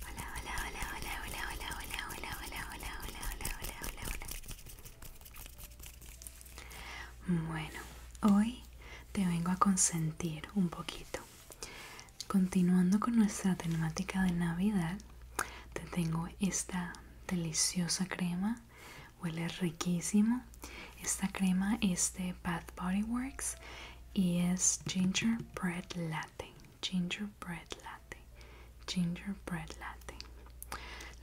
Hola, hola, hola, hola, hola, hola, hola, hola, hola, hola, hola, hola, hola, hola, Bueno, hoy te vengo a consentir un poquito. Continuando con nuestra temática de Navidad, te tengo esta deliciosa crema huele riquísimo esta crema es de Bath Body Works y es gingerbread latte Bread latte Bread latte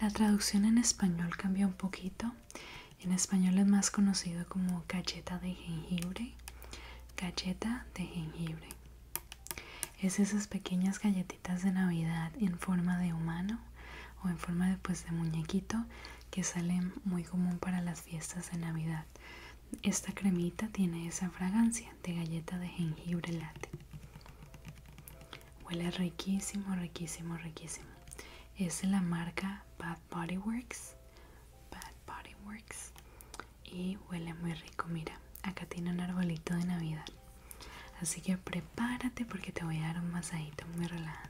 la traducción en español cambia un poquito en español es más conocido como galleta de jengibre galleta de jengibre es esas pequeñas galletitas de navidad en forma de humano o en forma de, pues, de muñequito que sale muy común para las fiestas de Navidad. Esta cremita tiene esa fragancia de galleta de jengibre latte. Huele riquísimo, riquísimo, riquísimo. Es de la marca Bad Body Works. Bad Body Works. Y huele muy rico. Mira, acá tiene un arbolito de Navidad. Así que prepárate porque te voy a dar un masajito muy relajante.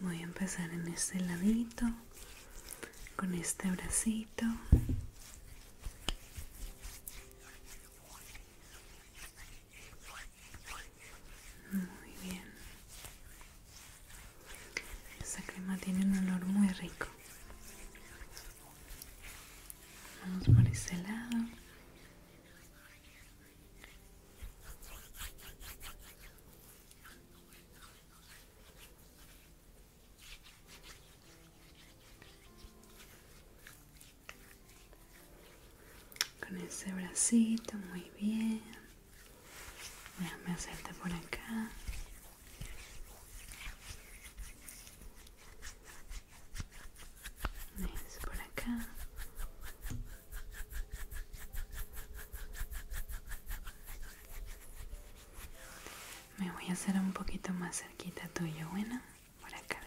Voy a empezar en este ladito, con este bracito. Muy bien. Esta crema tiene un olor muy rico. Vamos por este lado. Con ese bracito, muy bien. Déjame hacerte por acá es por acá me voy a hacer un poquito más cerquita tuyo bueno por acá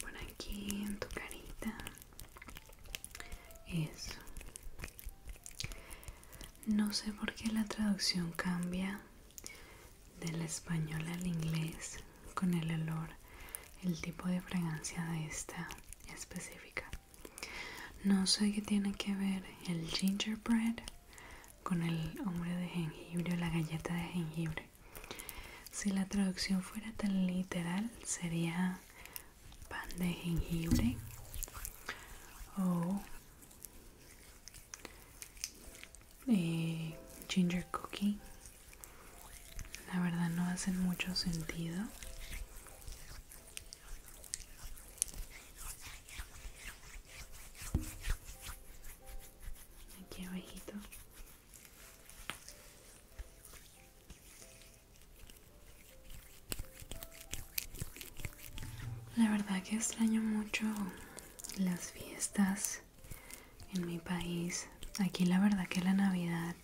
por aquí en tu carita. Eso. No sé por qué la traducción cambia del español al inglés con el olor, el tipo de fragancia de esta específica. No sé qué tiene que ver el gingerbread con el hombre de jengibre o la galleta de jengibre. Si la traducción fuera tan literal, sería pan de jengibre o eh, ginger cookie la verdad no hacen mucho sentido aquí abajito la verdad que extraño mucho las fiestas en mi país. Aquí la verdad que la Navidad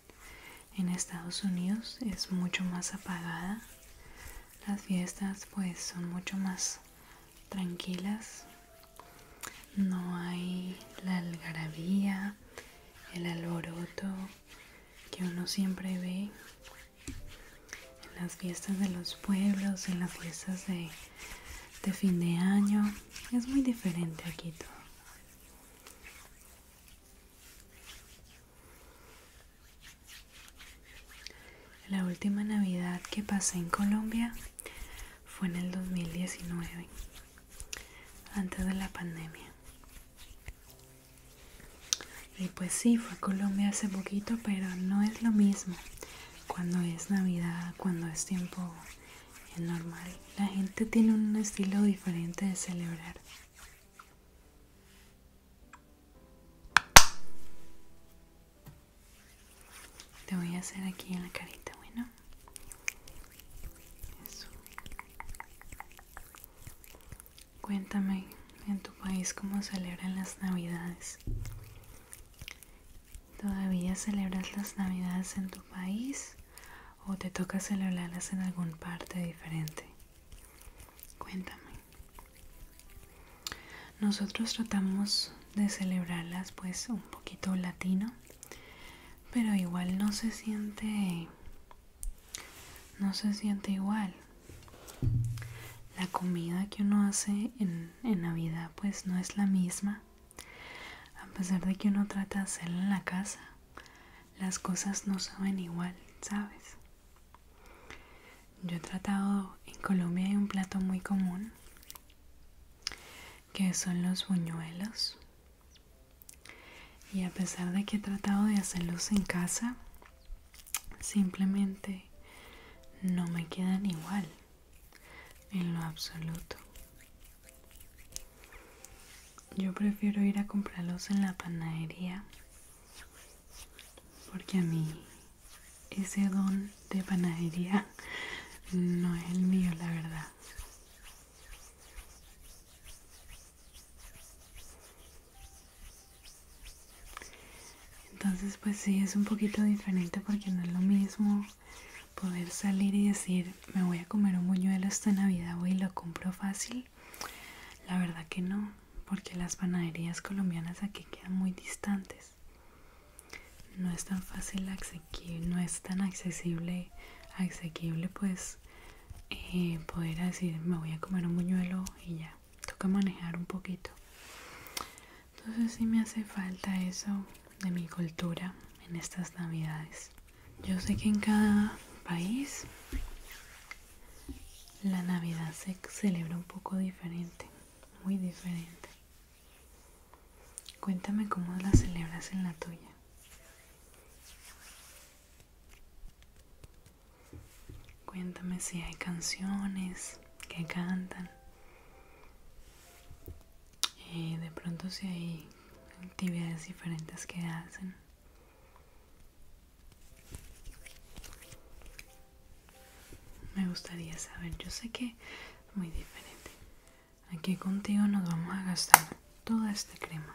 en Estados Unidos es mucho más apagada. Las fiestas pues son mucho más tranquilas. No hay la algarabía, el alboroto que uno siempre ve en las fiestas de los pueblos, en las fiestas de, fin de año. Es muy diferente aquí todo. La última Navidad que pasé en Colombia fue en el 2019, antes de la pandemia. Y pues sí, fue a Colombia hace poquito, pero no es lo mismo cuando es Navidad, cuando es tiempo eh, normal. La gente tiene un estilo diferente de celebrar. Te voy a hacer aquí en la carita, bueno. Eso. Cuéntame, en tu país cómo celebran las navidades. ¿Todavía celebras las navidades en tu país o te toca celebrarlas en algún parte diferente? Cuéntame. Nosotros tratamos de celebrarlas pues un poquito latino, pero igual no se siente no se siente igual. La comida que uno hace en, Navidad pues no es la misma. A pesar de que uno trata de hacerla en la casa, las cosas no saben igual, ¿sabes? Yo he tratado, en Colombia hay un plato muy común, que son los buñuelos y a pesar de que he tratado de hacerlos en casa, simplemente no me quedan igual en lo absoluto. Yo prefiero ir a comprarlos en la panadería porque a mí ese don de panadería no es el mío, la verdad. Entonces pues sí, es un poquito diferente porque no es lo mismo poder salir y decir me voy a comer un buñuelo esta Navidad voy y lo compro fácil. La verdad que no, porque las panaderías colombianas aquí quedan muy distantes. No es tan fácil, no es tan accesible, asequible pues eh, poder decir me voy a comer un buñuelo y ya toca manejar un poquito entonces si me hace falta eso de mi cultura en estas navidades yo sé que en cada país la navidad se celebra un poco diferente muy diferente cuéntame cómo la celebras en la tuya Cuéntame si hay canciones que cantan. Y de pronto si hay actividades diferentes que hacen. Me gustaría saber, yo sé que muy diferente. Aquí contigo nos vamos a gastar toda esta crema.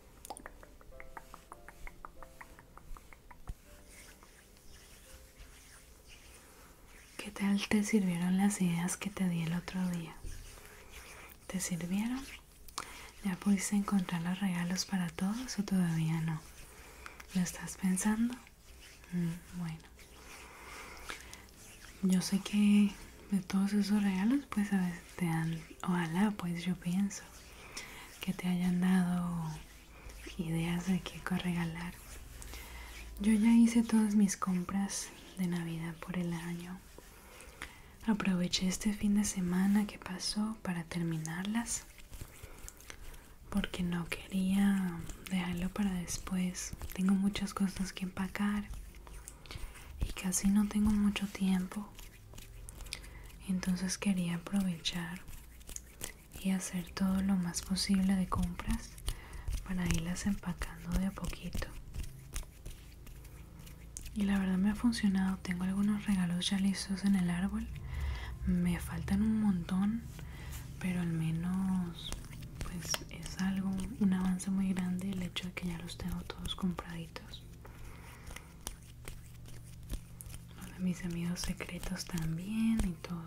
¿Qué tal te sirvieron las ideas que te di el otro día? ¿Te sirvieron? ¿Ya pudiste encontrar los regalos para todos o todavía no? ¿Lo estás pensando? Mm, bueno. Yo sé que de todos esos regalos, pues a veces te ojalá pues yo pienso que te hayan dado ideas de qué regalar. Yo ya hice todas mis compras de Navidad por el año. Aproveché este fin de semana que pasó para terminarlas porque no quería dejarlo para después. Tengo muchas cosas que empacar y casi no tengo mucho tiempo entonces quería aprovechar y hacer todo lo más posible de compras para irlas empacando de a poquito y la verdad me ha funcionado tengo algunos regalos ya listos en el árbol me faltan un montón pero al menos pues es algo un avance muy grande el hecho de que ya los tengo todos compraditos mis amigos secretos también y todo,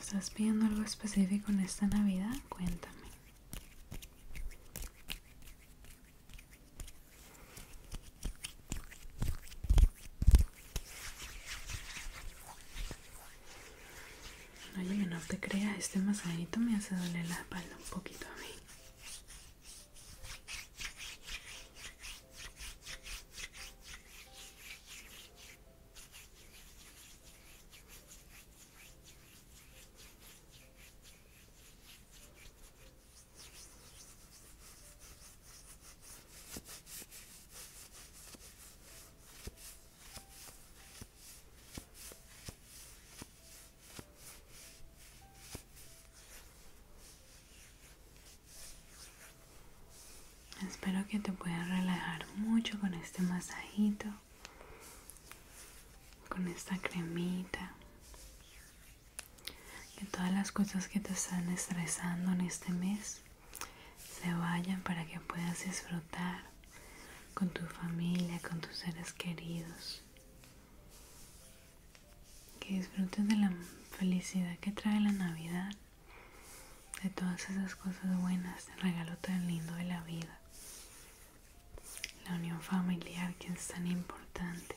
¿Estás pidiendo algo específico en esta Navidad? Cuéntame. Oye, no te creas, este masajito me hace doler la espalda un poquito a mí. Espero que te puedas relajar mucho con este masajito, con esta cremita, que todas las cosas que te están estresando en este mes se vayan para que puedas disfrutar con tu familia, con tus seres queridos. Que disfrutes de la felicidad que trae la Navidad, de todas esas cosas buenas, el regalo tan lindo de la vida, la unión familiar que es tan importante.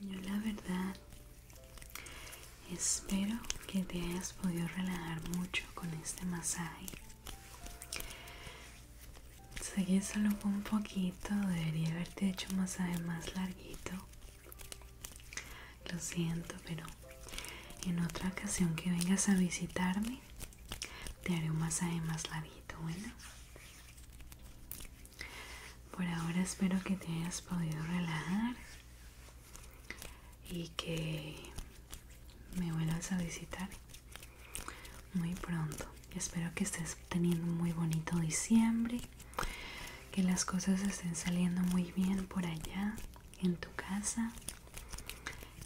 yo la verdad espero que te hayas podido relajar mucho con este masaje. Seguí solo un poquito, debería haberte hecho un masaje más larguito. Lo siento, pero en otra ocasión que vengas a visitarme, te haré un masaje más larguito, bueno. Por ahora espero que te hayas podido relajar y que me vuelvas a visitar muy pronto. Espero que estés teniendo muy bonito diciembre, que las cosas estén saliendo muy bien por allá en tu casa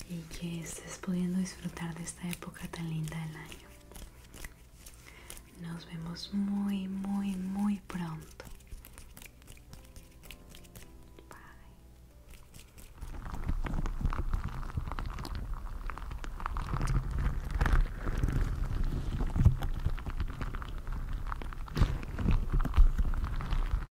y que estés pudiendo disfrutar de esta época tan linda del año. Nos vemos muy, muy, muy pronto.